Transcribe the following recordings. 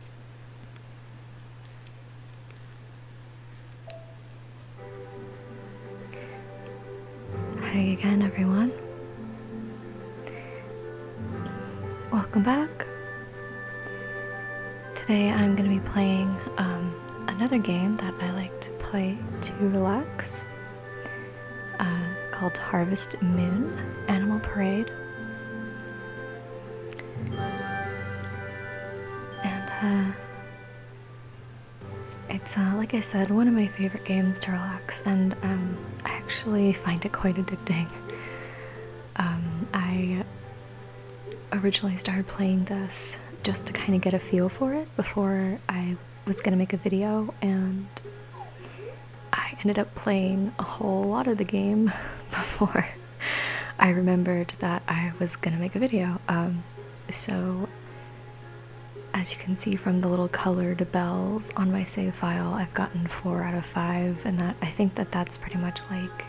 Hi again, everyone. Welcome back. Today I'm going to be playing um, another game that I like to play to relax uh, called Harvest Moon Animal Parade. And uh, it's, uh, like I said, one of my favorite games to relax, and um, I actually find it quite addicting. Um, I originally started playing this just to kind of get a feel for it before I was going to make a video, and I ended up playing a whole lot of the game before I remembered that I was gonna make a video. Um, so, as you can see from the little colored bells on my save file, I've gotten four out of five, and that I think that that's pretty much like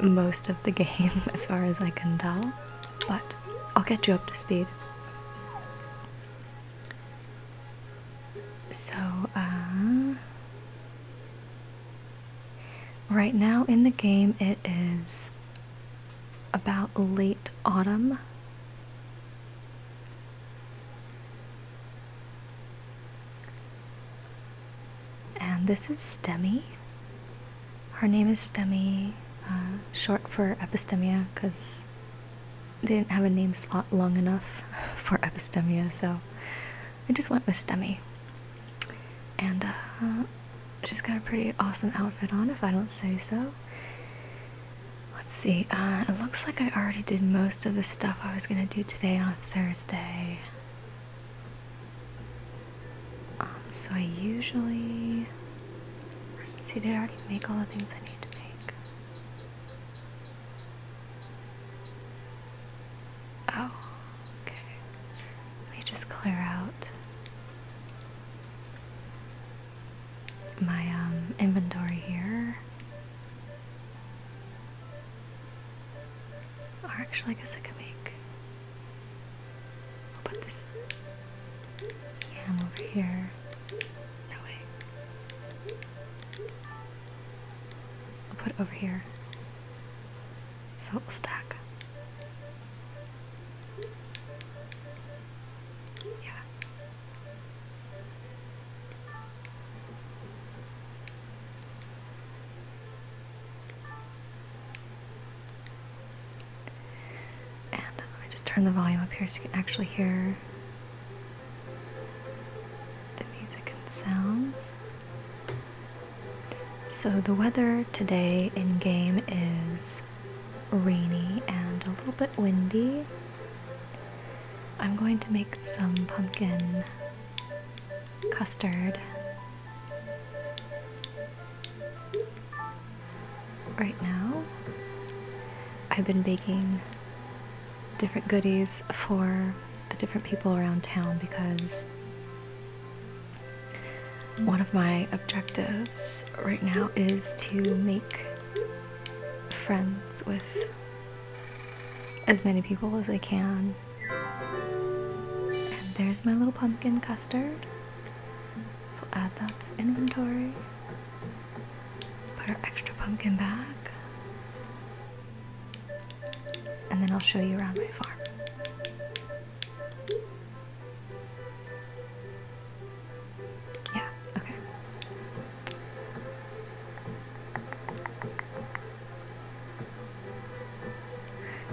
most of the game as far as I can tell. But I'll get you up to speed. So, uh, right now in the game, it is about late autumn. And this is STEMI. Her name is STEMI, uh, short for epistemia, because didn't have a name slot long enough for epistemia, so I just went with Stemmy. And uh, she's got a pretty awesome outfit on, if I don't say so. Let's see, uh, it looks like I already did most of the stuff I was going to do today on a Thursday. Um, so I usually. See, did I already make all the things I need to make? Oh, okay. Let me just clear out my um, inventory here. Or actually, I guess I could make. I'll put this yam over here. No way. I'll put it over here so it will stack. Yeah. And let me just turn the volume up here so you can actually hear the music and sounds. So, the weather today in game is rainy and a little bit windy. I'm going to make some pumpkin custard right now. I've been baking different goodies for the different people around town because one of my objectives right now is to make friends with as many people as I can. And there's my little pumpkin custard. So add that to the inventory. Put our extra pumpkin back and then I'll show you around my farm. Yeah, okay.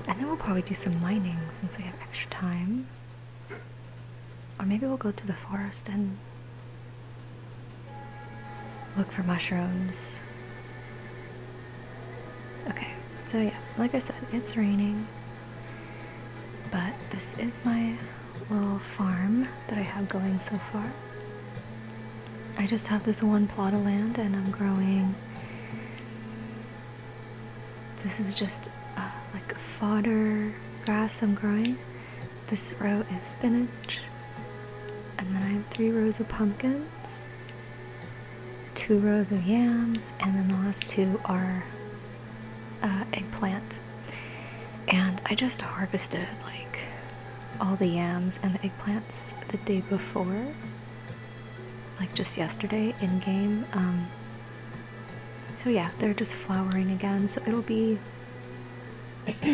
And then we'll probably do some mining since we have extra time. Or maybe we'll go to the forest and Look for mushrooms. Okay, so yeah, like I said, it's raining. But this is my little farm that I have going so far. I just have this one plot of land and I'm growing. This is just uh, like fodder grass I'm growing. This row is spinach. And then I have three rows of pumpkins, two rows of yams, and then the last two are uh, eggplant. And I just harvested like all the yams and the eggplants the day before, like just yesterday in game. Um, so yeah, they're just flowering again, so it'll be be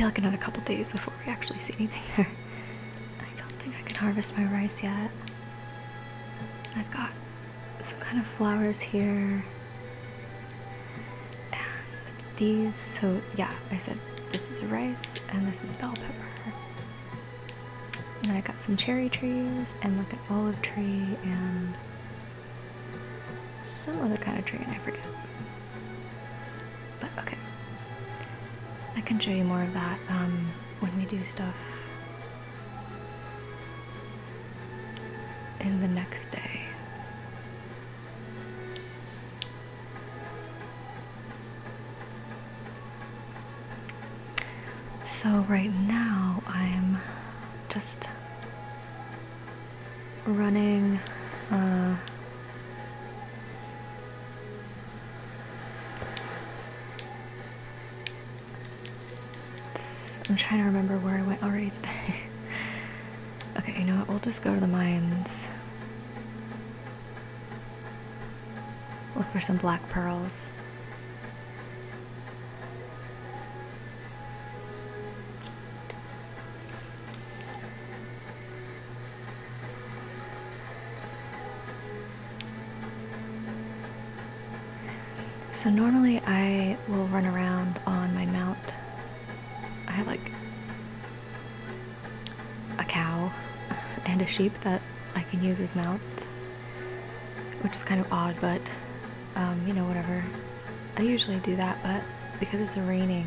like another couple days before we actually see anything there. I don't think I can harvest my rice yet. I've got some kind of flowers here. And these, so yeah, I said this is rice and this is bell pepper. And I have got some cherry trees and like an olive tree and some other kind of tree and I forget. But okay. I can show you more of that um, when we do stuff in the next day. So, right now, I'm just running uh, I'm trying to remember where I went already today. okay, you know what? We'll just go to the mines. Look for some black pearls. So normally I will run around on my mount. I have like a cow and a sheep that I can use as mounts, which is kind of odd, but um, you know, whatever. I usually do that, but because it's raining,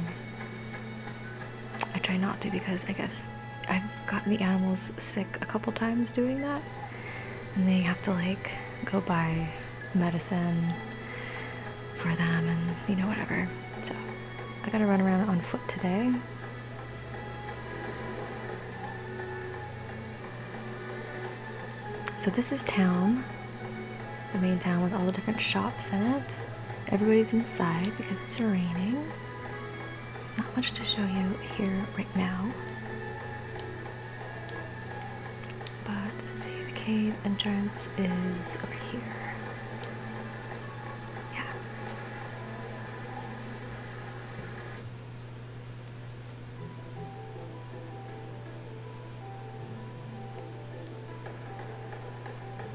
I try not to because I guess I've gotten the animals sick a couple times doing that. And they have to like go buy medicine for them and you know, whatever. So I gotta run around on foot today. So this is town the main town with all the different shops in it. Everybody's inside because it's raining. There's not much to show you here right now. But let's see, the cave entrance is over here. Yeah.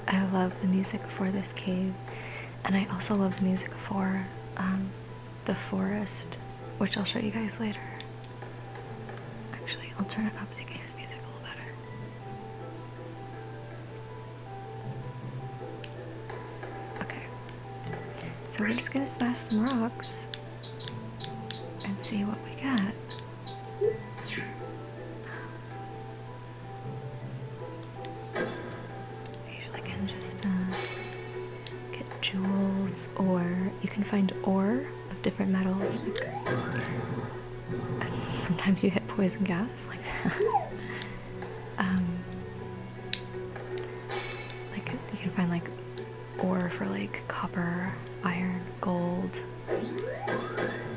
I love the music for this cave, and I also love the music for um, the forest, which I'll show you guys later. Actually, I'll turn it up so you can hear the music a little better. Okay, so we're just gonna smash some rocks and see what we get. I usually can just uh, get jewels or you can find ore of different metals. sometimes you hit poison gas like that. Um, like you can find like ore for like copper, iron, gold,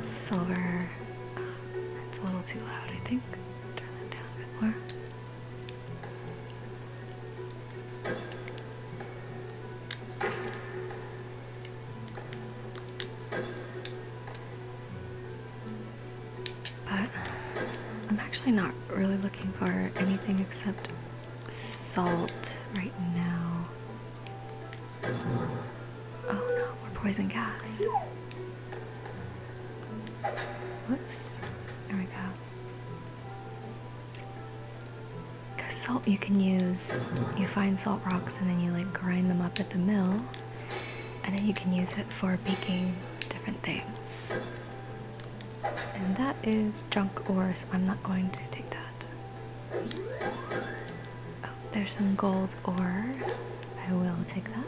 silver. Uh, it's a little too loud, I think. turn that down a bit more. But uh, I'm actually not really looking for anything except salt right now. Oh no, more poison gas. Whoops. There we go. Because salt you can use, you find salt rocks and then you like grind them up at the mill, and then you can use it for baking different things. And that is junk ore, so I'm not going to take that there's some gold ore. I will take that.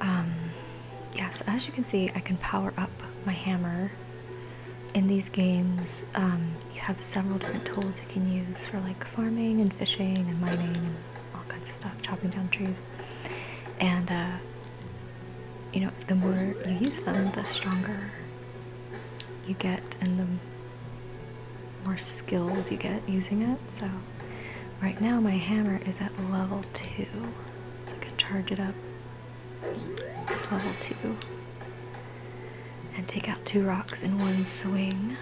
Um, yes, as you can see, I can power up my hammer in these games, um, you have several different tools you can use for like farming and fishing and mining and all kinds of stuff, chopping down trees. And, uh, you know, the more you use them, the stronger you get and the more skills you get using it. So, right now my hammer is at level 2, so I can charge it up to level 2 and take out two rocks in one swing.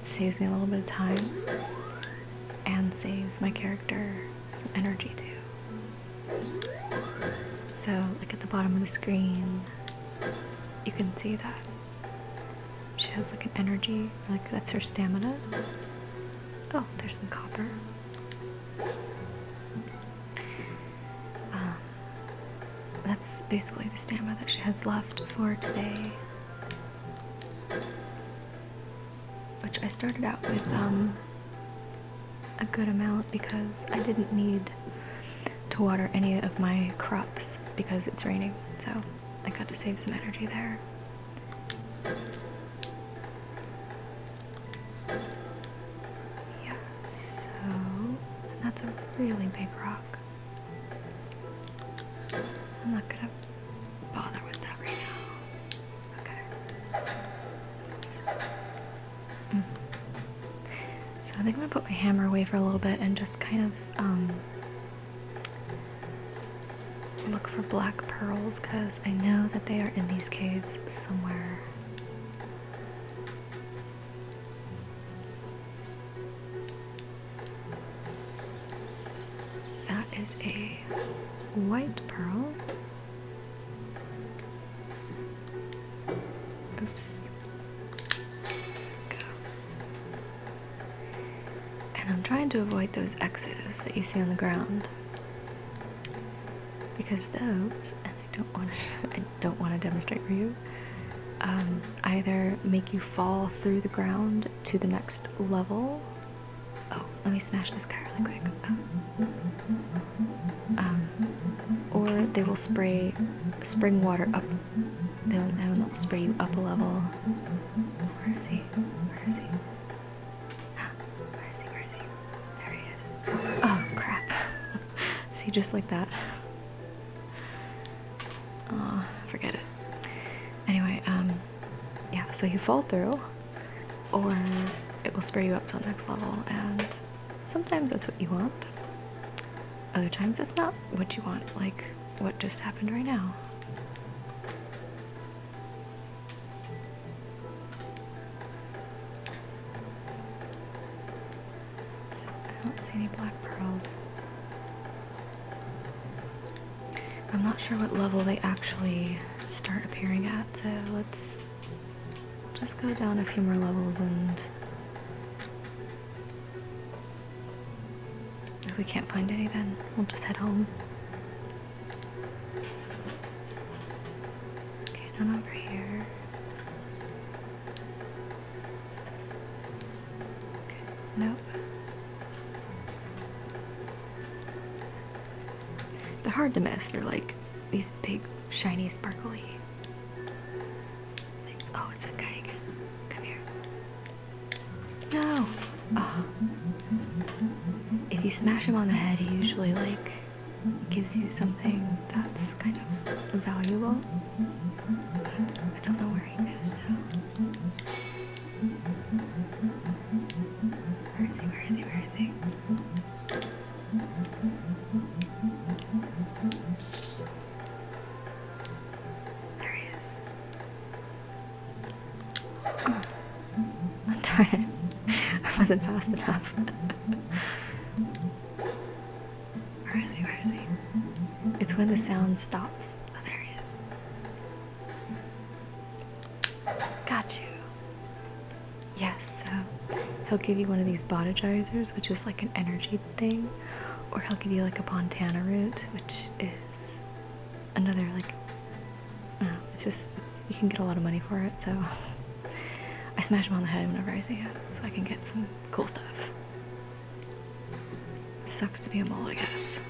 It saves me a little bit of time and saves my character some energy too. So like at the bottom of the screen you can see that. She has like an energy, like that's her stamina. Oh, there's some copper. Um, that's basically the stamina that she has left for today. Which I started out with um, a good amount because I didn't need to water any of my crops because it's raining, so I got to save some energy there. Yeah, so that's a really big rock. I'm not gonna bother with that right now. Okay. Mm. So I think I'm gonna put my hammer away for a little bit and just kind of um, look for black pearls because I know that they are in these caves somewhere. That is a white pearl. Oops. And I'm trying to avoid those X's that you see on the ground because those I don't want to. I don't want to demonstrate for you. Um, either make you fall through the ground to the next level. Oh, let me smash this guy really quick. Um, or they will spray spring water up. They'll, they'll spray you up a level. Where is he? Where is he? Where is he? Where is he? There he is. Oh crap. See, just like that. Oh, forget it. Anyway, um, yeah, so you fall through, or it will spur you up to the next level, and sometimes that's what you want. Other times it's not what you want, like what just happened right now. I don't see any black pearls. I'm not sure what level they actually start appearing at, so let's just go down a few more levels and if we can't find any then we'll just head home. Okay, down over here. Okay, nope. They're hard to miss. They're like these big, shiny, sparkly things. Oh, it's that guy again. Come here. No! Uh, if you smash him on the head, he usually like gives you something that's kind of valuable. I don't know where he is now. Where is he? Where is he? Where is he? There he is. Oh, darn it. I wasn't fast enough. Where is he? Where is he? It's when the sound stops. Oh, there he is. Got you. Yes, so he'll give you one of these Bodagizers, which is like an energy thing, or he'll give you like a Pontana root, which is another like. it's just you can get a lot of money for it, so I smash them on the head whenever I see it, so I can get some cool stuff. Sucks to be a mole, I guess.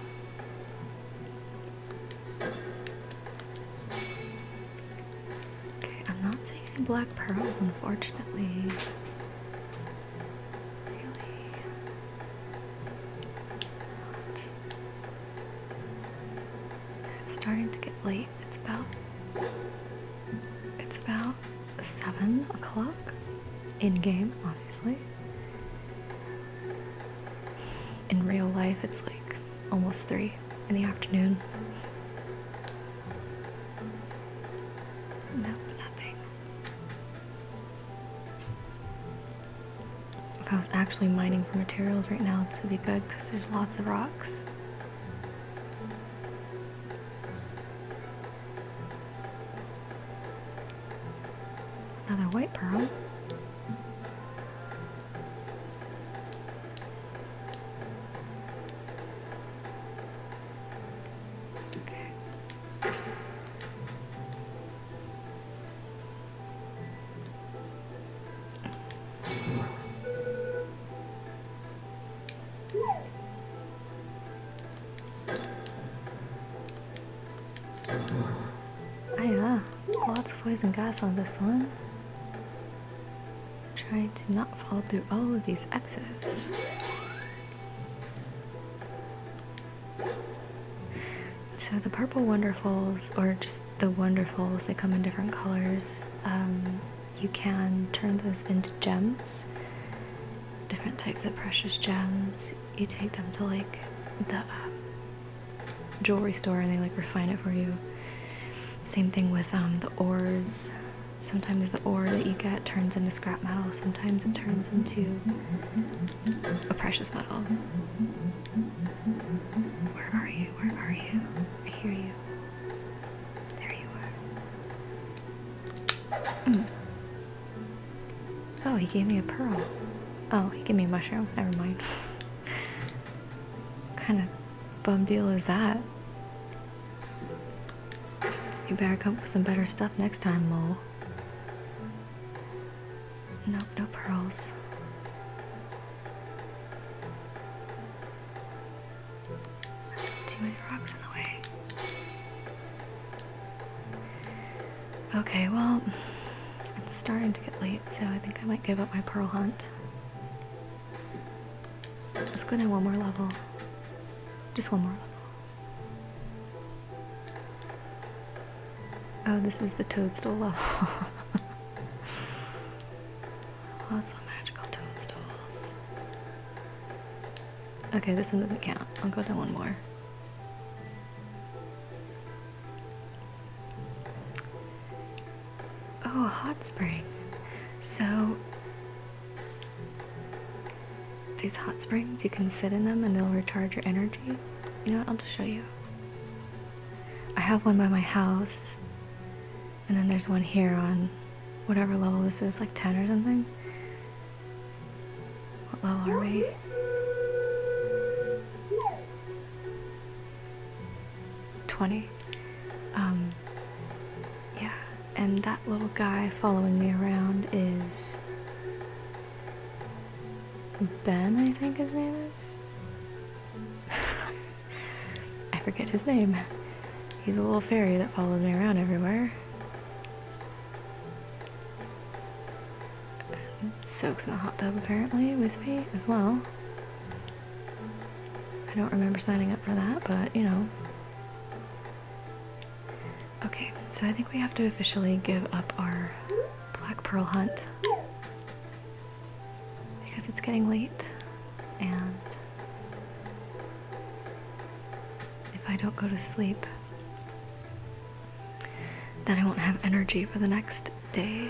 Okay, I'm not seeing any black pearls, unfortunately. Really? Not. It's starting to get late it's about it's about seven o'clock in game, obviously. In real life, it's like almost three in the afternoon. Nope, nothing. If I was actually mining for materials right now, this would be good because there's lots of rocks. Another white pearl. Okay. Hiya. Ah, Lots of poison gas on this one. Trying to not fall through all of these X's. So the purple wonderfuls, or just the wonderfuls, they come in different colors. Um, you can turn those into gems, different types of precious gems. You take them to like the uh, jewelry store and they like refine it for you. Same thing with um, the ores. Sometimes the ore that you get turns into scrap metal, sometimes it turns into a precious metal. Where are you? Where are you? I hear you. There you are. Mm. Oh, he gave me a pearl. Oh, he gave me a mushroom. Never mind. kind of bum deal is that? You better come with some better stuff next time, Mole. No, no pearls. Too many rocks in the way. Okay, well, it's starting to get late, so I think I might give up my pearl hunt. Let's go down one more level. Just one more level. Oh, this is the toadstool level. Lots of magical toadstools. Okay, this one doesn't count. I'll go to one more. Oh, hot spring. So, these hot springs, you can sit in them and they'll recharge your energy. You know what? I'll just show you. I have one by my house and then there's one here on whatever level this is, like 10 or something. What level are we? Twenty. Um, yeah, and that little guy following me around is Ben, I think his name is. I forget his name. He's a little fairy that follows me around everywhere. soaks in the hot tub apparently with me as well. I don't remember signing up for that, but you know. Okay, so I think we have to officially give up our Black Pearl hunt because it's getting late and if I don't go to sleep, then I won't have energy for the next day.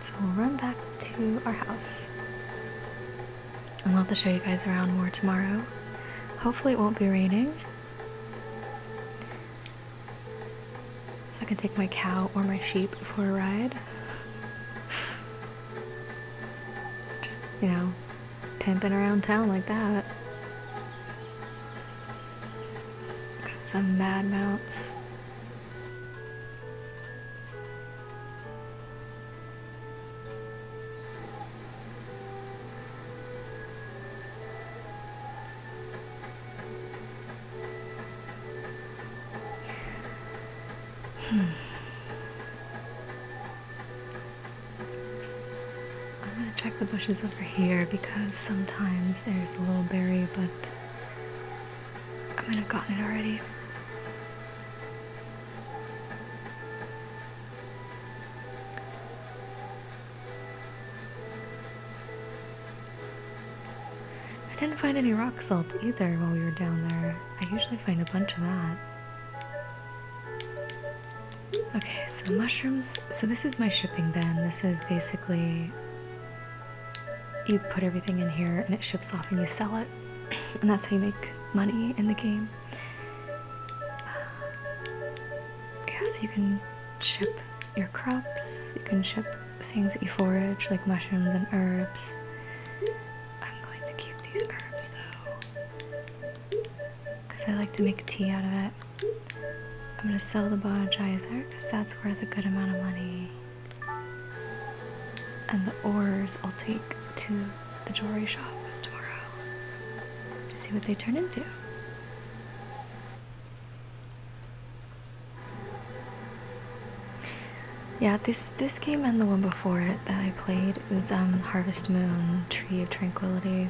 So we'll run back to our house. And we'll have to show you guys around more tomorrow. Hopefully it won't be raining. So I can take my cow or my sheep for a ride. Just, you know, pimping around town like that. some mad mounts. Hmm. I'm gonna check the bushes over here because sometimes there's a little berry, but I might have gotten it already. I didn't find any rock salt either while we were down there. I usually find a bunch of that. Okay, so mushrooms. So this is my shipping bin. This is basically you put everything in here and it ships off and you sell it. And that's how you make money in the game. Yes, you can ship your crops, you can ship things that you forage, like mushrooms and herbs. I'm going to keep these herbs though, because I like to make tea out of it. I'm going to sell the bonitizer, because that's worth a good amount of money. And the ores I'll take to the jewelry shop tomorrow to see what they turn into. Yeah, this this game and the one before it that I played was um, Harvest Moon, Tree of Tranquility.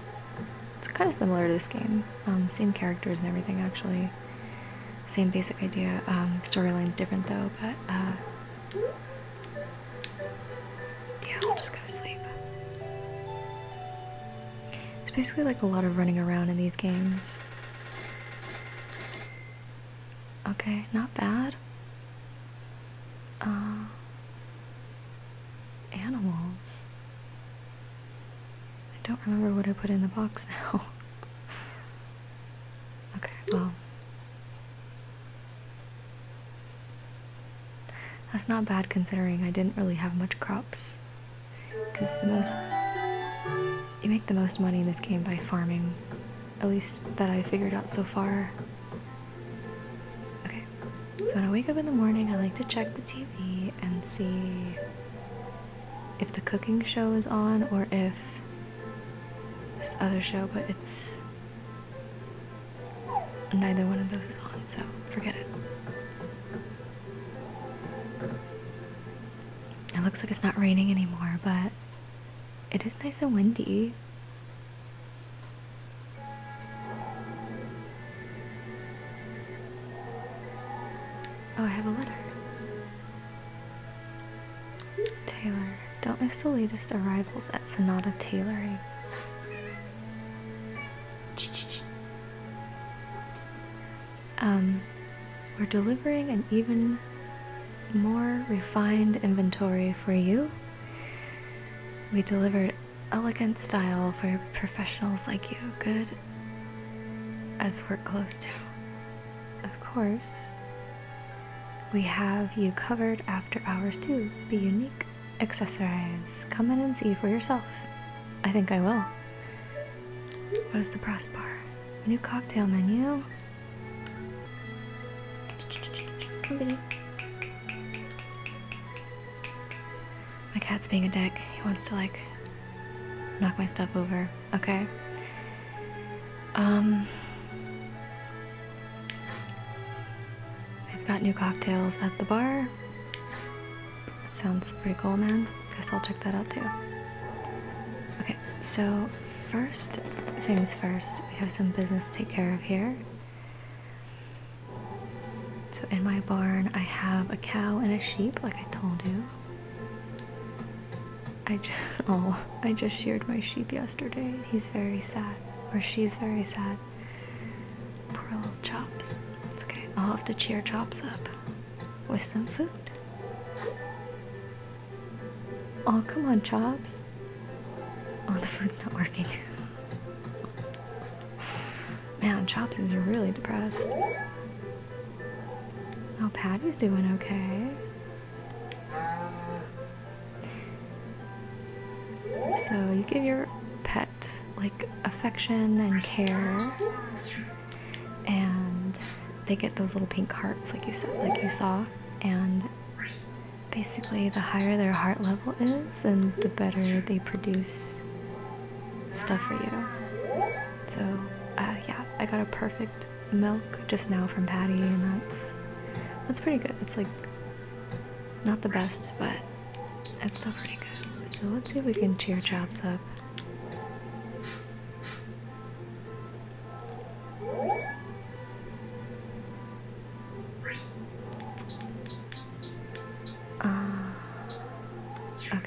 It's kind of similar to this game. Um, same characters and everything, actually. Same basic idea. Um, storyline's different though, but uh, yeah, I'll just go to sleep. It's basically like a lot of running around in these games. Okay, not bad. Uh, animals. I don't remember what I put in the box now. okay, well. That's not bad considering I didn't really have much crops. Because the most. You make the most money in this game by farming. At least that I figured out so far. Okay. So when I wake up in the morning, I like to check the TV and see if the cooking show is on or if this other show, but it's. Neither one of those is on, so forget it. It looks like it's not raining anymore, but it is nice and windy. Oh, I have a letter. Taylor, don't miss the latest arrivals at Sonata Tailoring. Um, we're delivering an even more refined inventory for you. We delivered elegant style for professionals like you, good as work clothes do, Of course, we have you covered after hours too. Be unique, accessorize. Come in and see for yourself. I think I will. What is the brass bar? new cocktail menu. My cat's being a dick. He wants to like knock my stuff over. Okay. Um They've got new cocktails at the bar. That sounds pretty cool, man. Guess I'll check that out too. Okay, so first things first, we have some business to take care of here. So in my barn, I have a cow and a sheep, like I told you. I just, oh, I just sheared my sheep yesterday. He's very sad, or she's very sad. Poor little Chops. It's okay. I'll have to cheer Chops up with some food. Oh, come on, Chops. Oh, the food's not working. Man, Chops is really depressed. Oh, Patty's doing okay. So, you give your pet like affection and care and they get those little pink hearts like you said like you saw and basically the higher their heart level is then the better they produce stuff for you so uh, yeah i got a perfect milk just now from patty and that's that's pretty good it's like not the best but it's still pretty good. So let's see if we can cheer Chops up. Uh, okay.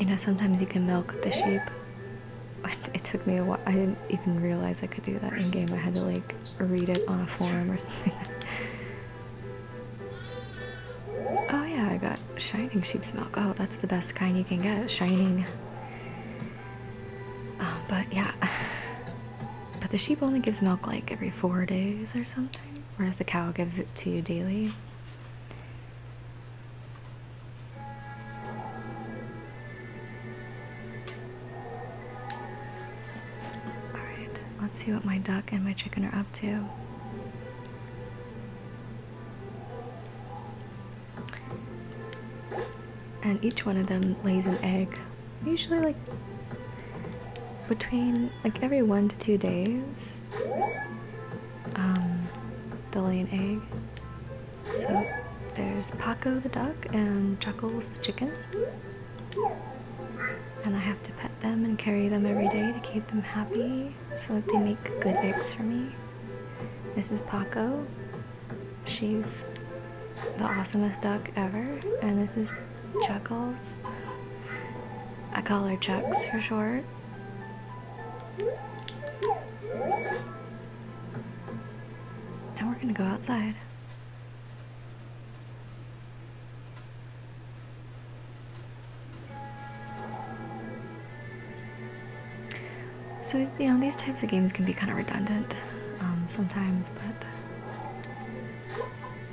You know, sometimes you can milk the sheep. It took me a while. I didn't even realize I could do that in game. I had to like read it on a forum or something. oh yeah, I got shining sheep's milk. Oh, that's the best kind you can get. Shining. Oh, but yeah. But the sheep only gives milk like every four days or something, whereas the cow gives it to you daily. Alright, let's see what my duck and my chicken are up to. And each one of them lays an egg, usually like between like every one to two days. Um, they lay an egg. So there's Paco the duck and Chuckles the chicken and I have to pet them and carry them every day to keep them happy so that they make good eggs for me. Mrs. Paco, she's the awesomest duck ever, and this is Chuckles. I call her Chucks for short. Now we're gonna go outside. So, you know, these types of games can be kind of redundant um, sometimes, but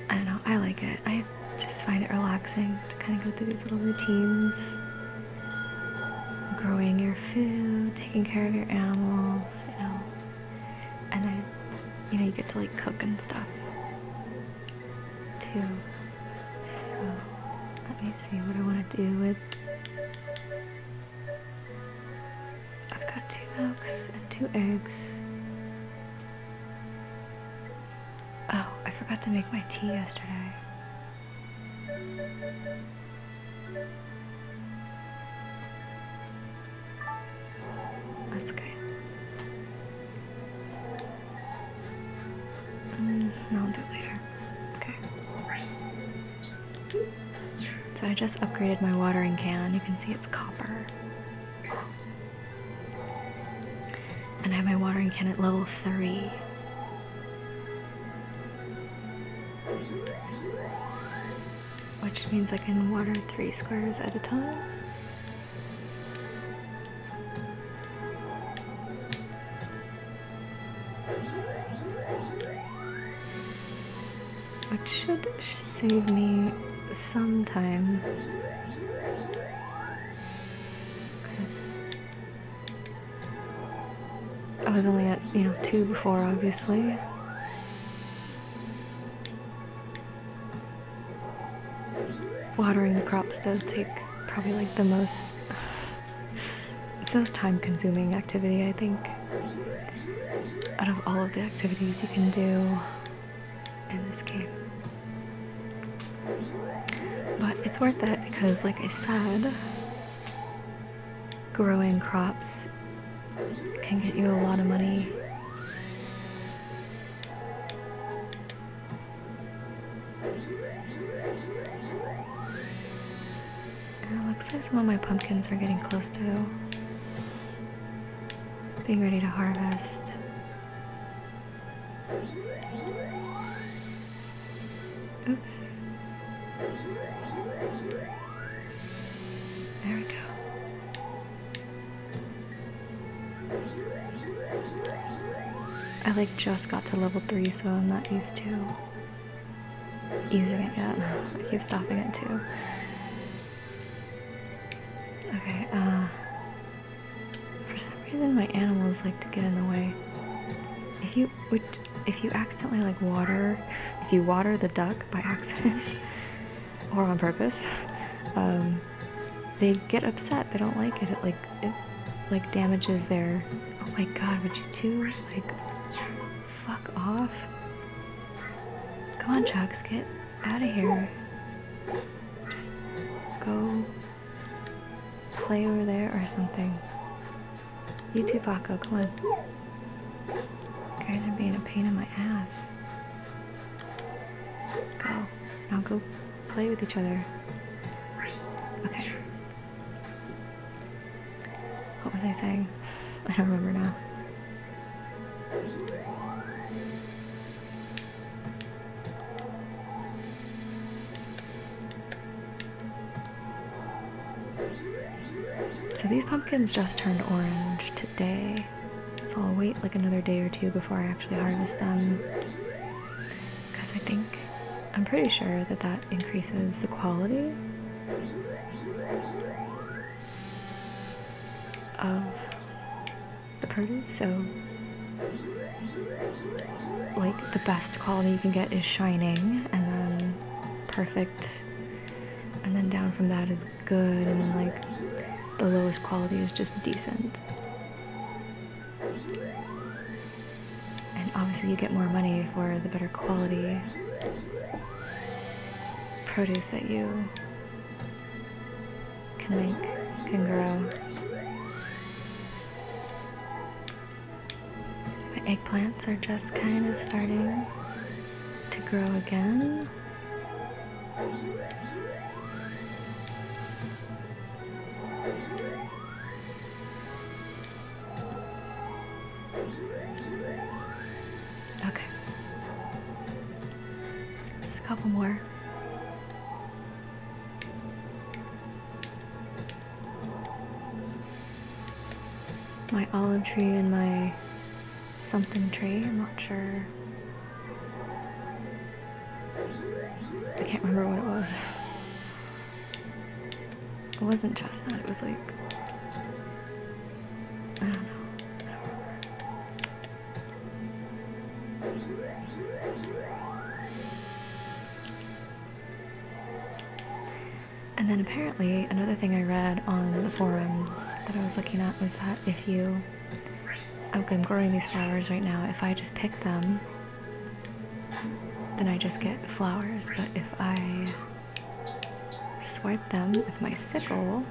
I don't know, I like it. I just find it relaxing to kind of go through these little routines growing your food, taking care of your animals, you know and I, you know, you get to like cook and stuff too. So let me see what I want to do with. I've got two milks and two eggs. Oh, I forgot to make my tea yesterday. That's okay. Mm, I'll do it later. Okay. So I just upgraded my watering can. You can see it's copper. And I have my watering can at level 3 which means I can water three squares at a time. Which should save me some time. Because I was only at, you know, two before, obviously. Watering the crops does take probably like the most. It's the most time consuming activity, I think. Out of all of the activities you can do in this game. But it's worth it because, like I said, growing crops can get you a lot of money. looks like some of my pumpkins are getting close to being ready to harvest. Oops. There we go. I like just got to level 3 so I'm not used to using it yet. I keep stopping it too. Okay, uh for some reason my animals like to get in the way. If you would if you accidentally like water if you water the duck by accident or on purpose, um, they get upset. They don't like it. It like it like damages their. Oh my God! Would you do like fuck off? Come on, Chucks, get out of here. Just go play over there or something. You too, Paco. Come on. You guys are being a pain in my ass. Go. Now go play with each other. Okay. What was I saying? I don't remember now. So these pumpkins just turned orange today. So I'll wait like another day or two before I actually harvest them. Because I think, I'm pretty sure that that increases the quality of the produce. So, like, the best quality you can get is shining, and then perfect. And then down from that is good, and then like the lowest quality is just decent. And obviously, you get more money for the better quality produce that you can make, can grow. my eggplants are just kind of starting to grow again. Okay. Just a couple more. My olive tree and my something tree. I'm not sure. I can't remember what it was. It wasn't chestnut. It was like I don't know. and then apparently another thing I read on the forums that I was looking at was that if you I'm growing these flowers right now. If I just pick them, then I just get flowers. But if I swipe them with my sickle,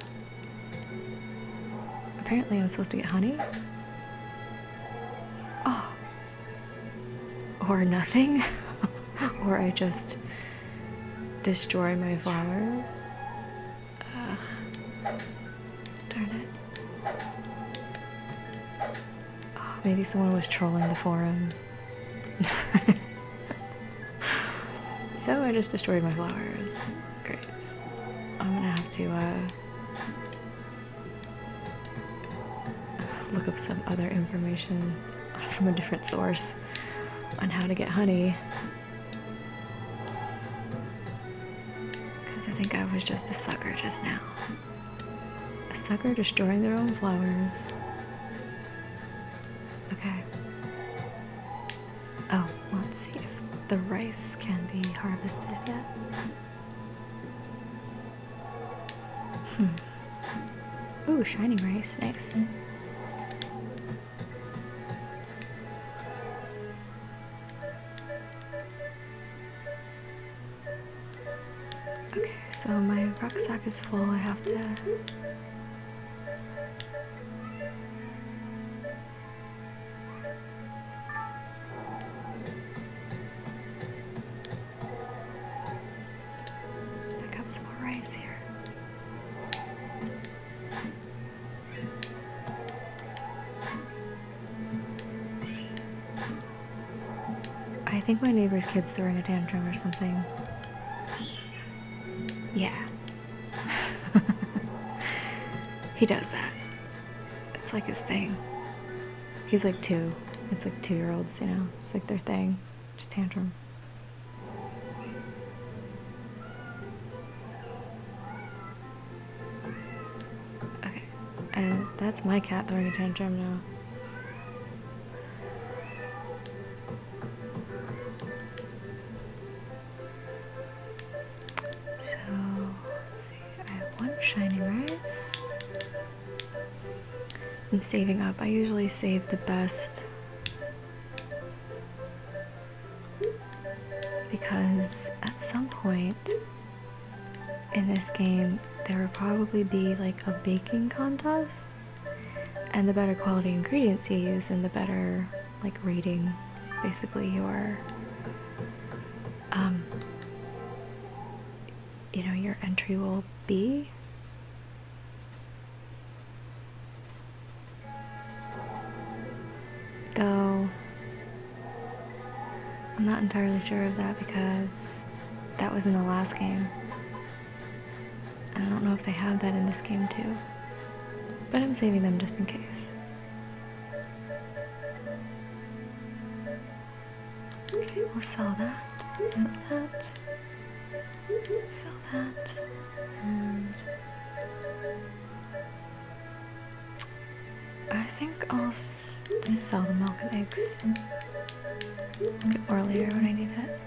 apparently I'm supposed to get honey. Oh. Or nothing. or I just destroy my flowers. Ugh. Darn it. Ah, maybe someone was trolling the forums. so I just destroyed my flowers. Great. I'm gonna have to uh, look up some other information from a different source on how to get honey. Because I think I was just a sucker just now. A sucker destroying their own flowers. Okay. Oh, let's see if the rice can be harvested yet. Hmm. Ooh, shiny rice, nice. Okay, so my rucksack is full. I have to. Pick up some more rice here. I think my neighbor's kid's throwing a tantrum or something. Yeah. he does that. It's like his thing. He's like two. It's like two year olds, you know? It's like their thing. Just tantrum. Okay, and that's my cat throwing a tantrum now. So, see, I have one shiny rice. I'm saving up. I usually save the best because at some point in this game, there would probably be like a baking contest, and the better quality ingredients you use, and the better like rating basically your um, you know your entry will be Though, I'm not entirely sure of that because that was in the last game. And I don't know if they have that in this game too. But I'm saving them just in case. Okay, we'll sell that, sell that, sell that, and I think I'll just sell the milk and eggs or later when I need it.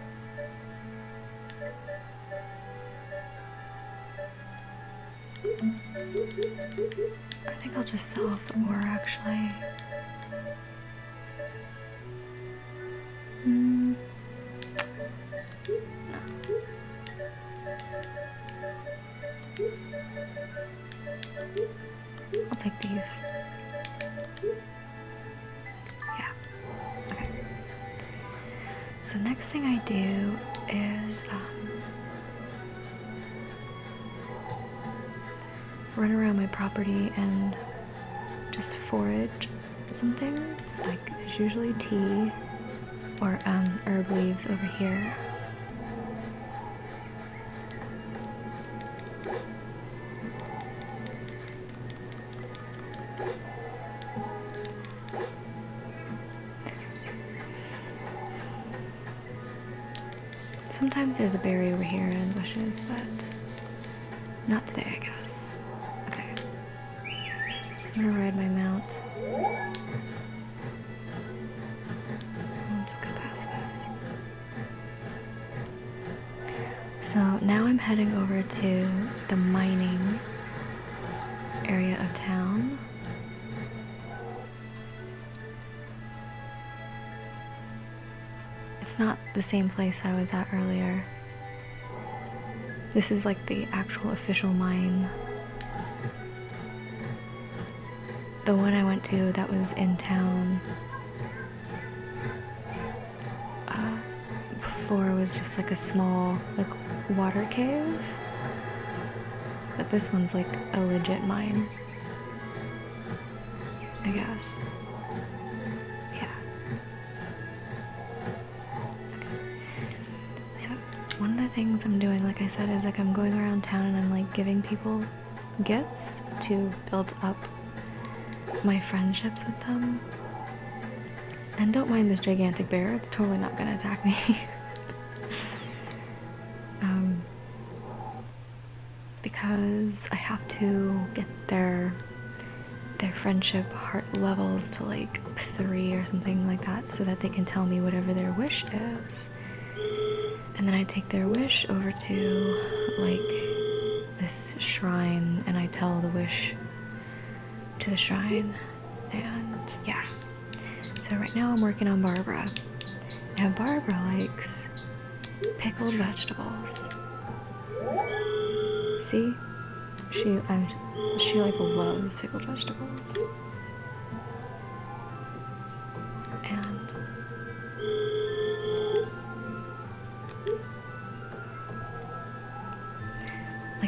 I think I'll just sell off the ore actually. Mm. I'll take these. Yeah. Okay. So next thing I do is um, run around my property and just forage some things. Like there's usually tea or um, herb leaves over here. Sometimes there's a berry over here and bushes, but not today, I guess. Okay. I'm gonna ride my mount. I'll go past this. So now I'm heading over to the mining area of town. It's not the same place I was at earlier. This is like the actual official mine. The one I went to that was in town uh, before was just like a small like water cave. But this one's like a legit mine. I guess. Yeah. So one of the things I'm doing, like I said, is like I'm going around town and I'm like giving people gifts to build up my friendships with them. And don't mind this gigantic bear, it's totally not gonna attack me. um, because I have to get there their friendship heart levels to like three or something like that so that they can tell me whatever their wish is. And then I take their wish over to like this shrine and I tell the wish to the shrine. And yeah. So right now I'm working on Barbara. Now Barbara likes pickled vegetables. See? She, I'm, she like loves pickled vegetables. And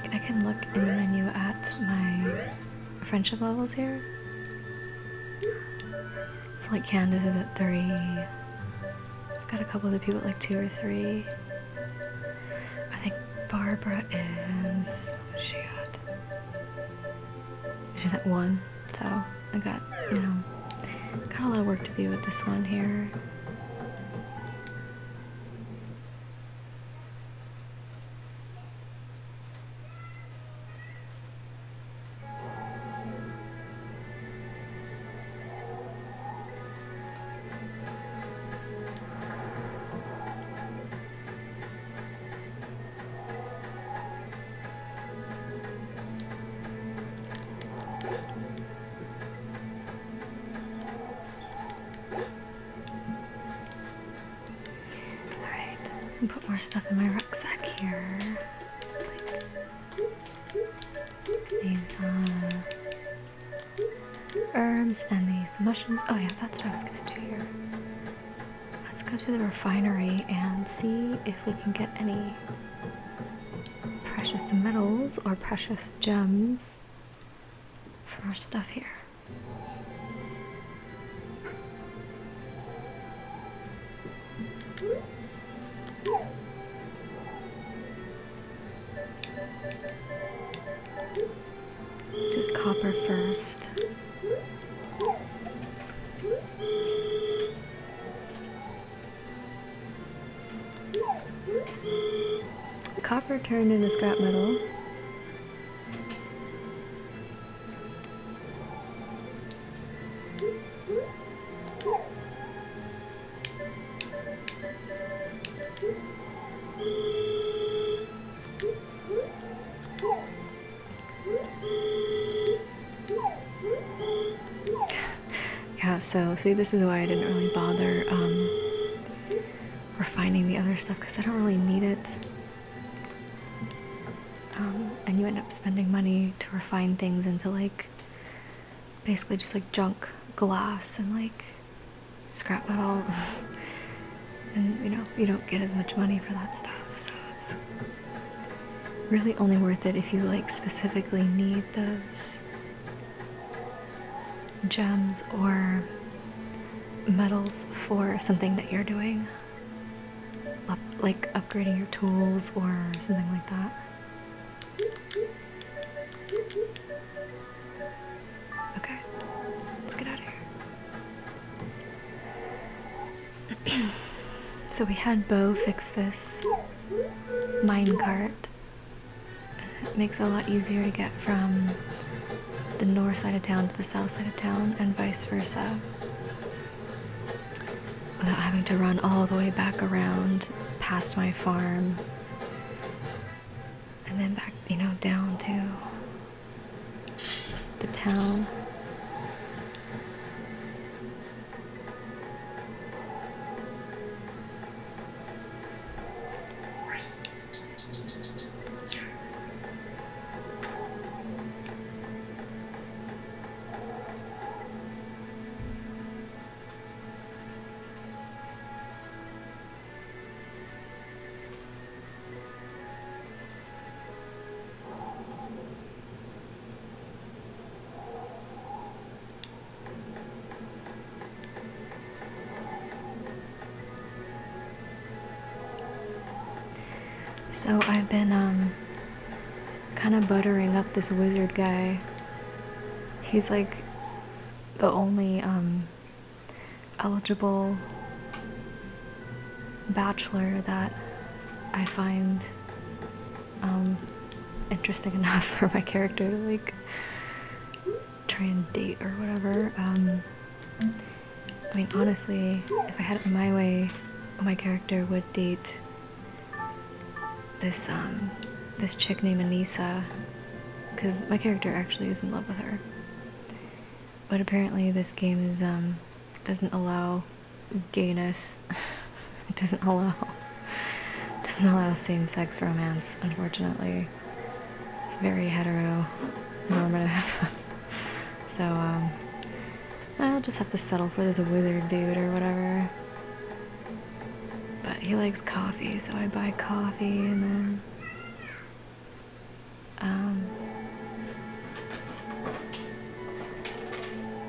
like I can look in the menu at my friendship levels here. It's like Candace is at three. I've got a couple other people like two or three. I think Barbara is she at she's at one, so I got you know got a lot of work to do with this one here. Alright, put more stuff in my rucksack here. these uh, herbs and these mushrooms. Oh, yeah, that's what I was gonna do here. Let's go to the refinery and see if we can get any precious metals or precious gems from our stuff here. Do the copper first. Copper turned into scrap metal. yeah, so see, this is why I didn't really bother um, refining the other stuff because I don't really need it. Um, and you end up spending money to refine things into like basically just like junk glass and like scrap metal. and you know, you don't get as much money for that stuff, so it's really only worth it if you like specifically need those gems or metals for something that you're doing. like upgrading your tools or something like that. Okay, let's get out of here. so we had Bo fix this minecart. It makes a lot easier to get from the north side of town to the south side of town and vice versa without having to run all the way back around past my farm and then back, you know, down to the town. So I've been um, kind of buttering up this wizard guy. He's like the only um, eligible bachelor that I find um, interesting enough for my character to like try and date or whatever. Um, I mean, honestly, if I had it my way, my character would date this um, this chick named Anissa because my character actually is in love with her. But apparently, this game is um doesn't allow gayness. it doesn't allow doesn't allow same-sex romance. Unfortunately, it's very hetero normative. so um, I'll just have to settle for this wizard dude or whatever. But he likes coffee, so I buy coffee and then um,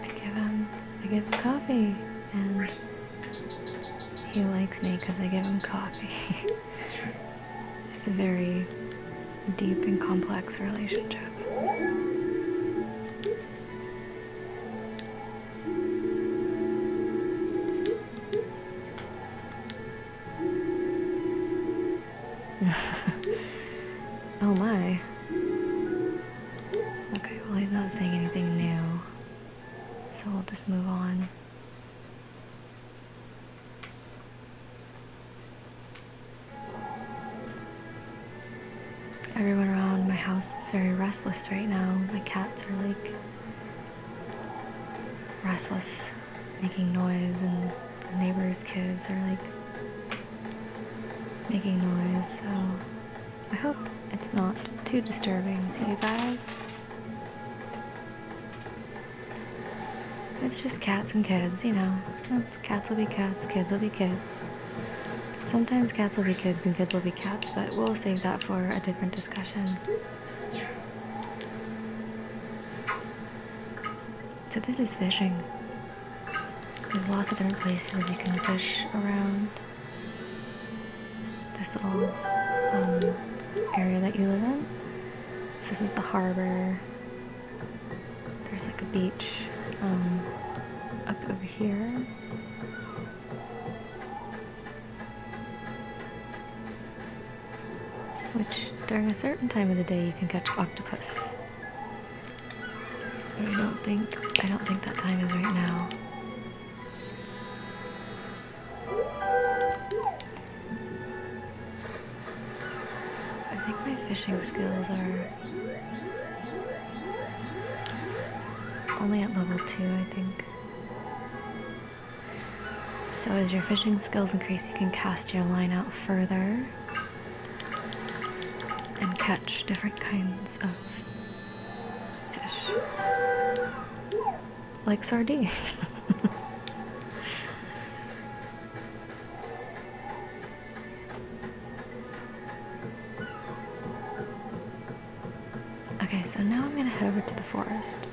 I give him, I give him coffee, and he likes me because I give him coffee. this is a very deep and complex relationship. oh my. Okay, well he's not saying anything new. So we'll just move on. Everyone around my house is very restless right now. My cats are like restless, making noise, and neighbors' kids are like making noise. So I hope it's not too disturbing to you guys. It's just cats and kids, you know. cats will be cats, kids will be kids. Sometimes cats will be kids and kids will be cats, but we'll save that for a different discussion. So this is fishing. There's lots of different places you can fish around this little um, area that you live in. this is the harbor. There's like a beach um, up over here. Which, during a certain time of the day, you can catch octopus. But I don't think, I don't think that time is right now. I think my fishing skills are only at level 2, I think. So as your fishing skills increase, you can cast your line out further and catch different kinds of fish. Like sardines. Okay, so now I'm gonna head over to the forest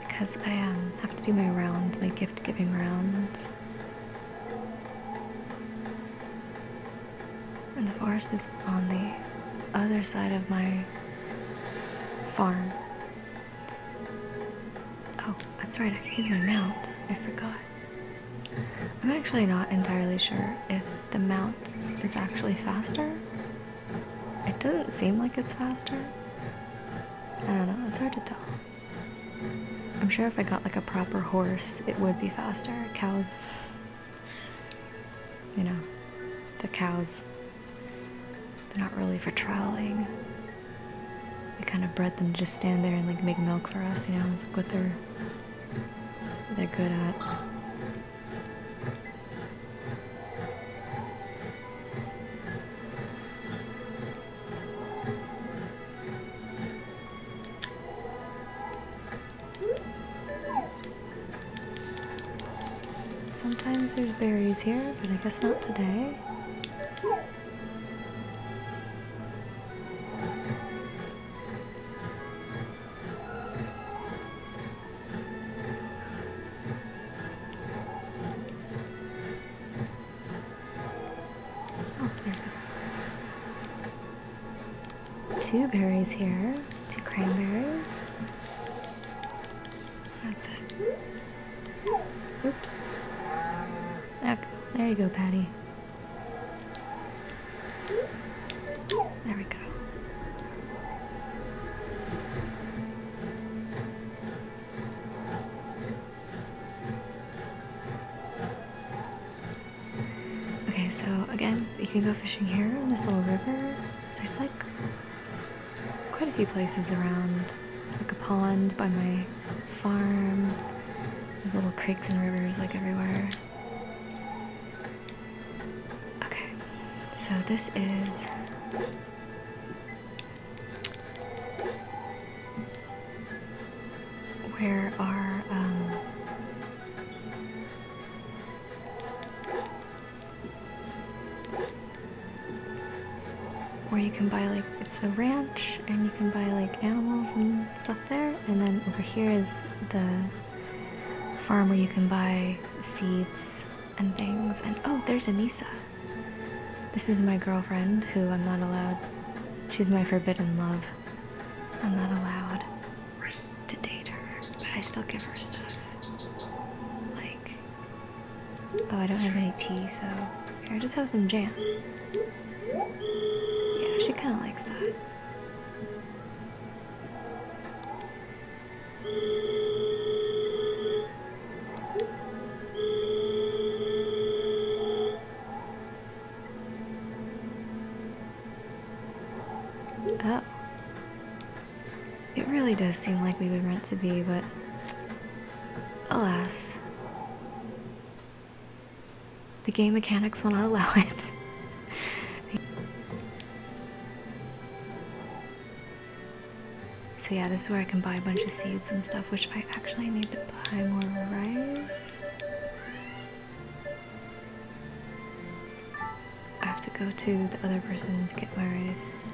because I um, have to do my rounds, my gift giving rounds. And the forest is on the other side of my farm. Oh, that's right, I can use my mount. I forgot. I'm actually not entirely sure if the mount is actually faster. It doesn't seem like it's faster. I don't know, it's hard to tell. I'm sure if I got like a proper horse, it would be faster. Cows, you know, the cows. They're not really for traveling. We kind of bred them to just stand there and like make milk for us, you know, it's like what they're they're good at. Sometimes there's berries here, but I guess not today. Oh, there's two berries here, two cranberries. That's it. Oops. there you go, Patty. There we go. Okay, so again, you can go fishing here in this little river. There's like quite a few places around. There's like a pond by my farm. There's little creeks and rivers like everywhere. Okay, so this is where our um, where you can buy like it's the ranch and you can buy like animals and stuff there and then over here is the farm where you can buy seeds and things. And oh, there's Anisa. This is my girlfriend who I'm not allowed. She's my forbidden love. I'm not allowed to date her, but I still give her stuff. Like, oh, I don't have any tea, so here, I just have some jam. Yeah, she kind of likes that. Oh. It really does seem like we were meant to be, but alas. The game mechanics will not allow it. So yeah, this is where I can buy a bunch of seeds and stuff, which I actually need to buy more rice. I have to go to the other person to get my rice.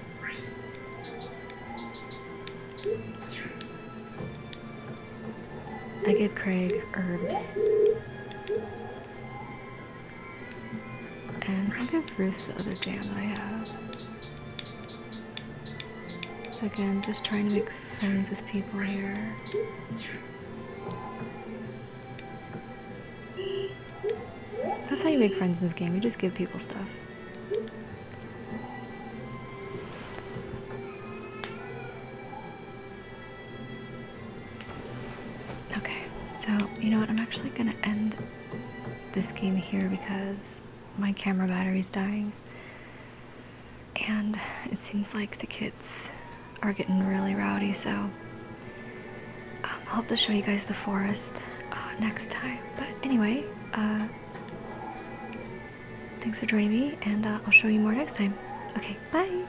I give Craig herbs. And I'll give Ruth the other jam that I have. So again, just trying to make friends with people here. That's how you make friends in this game, you just give people stuff. Okay, so you know what? I'm actually gonna end this game here because my camera battery's dying. And it seems like the kids are getting really rowdy, so um, I'll have to show you guys the forest uh, next time. But anyway, uh, thanks for joining me, and uh, I'll show you more next time. Okay, bye!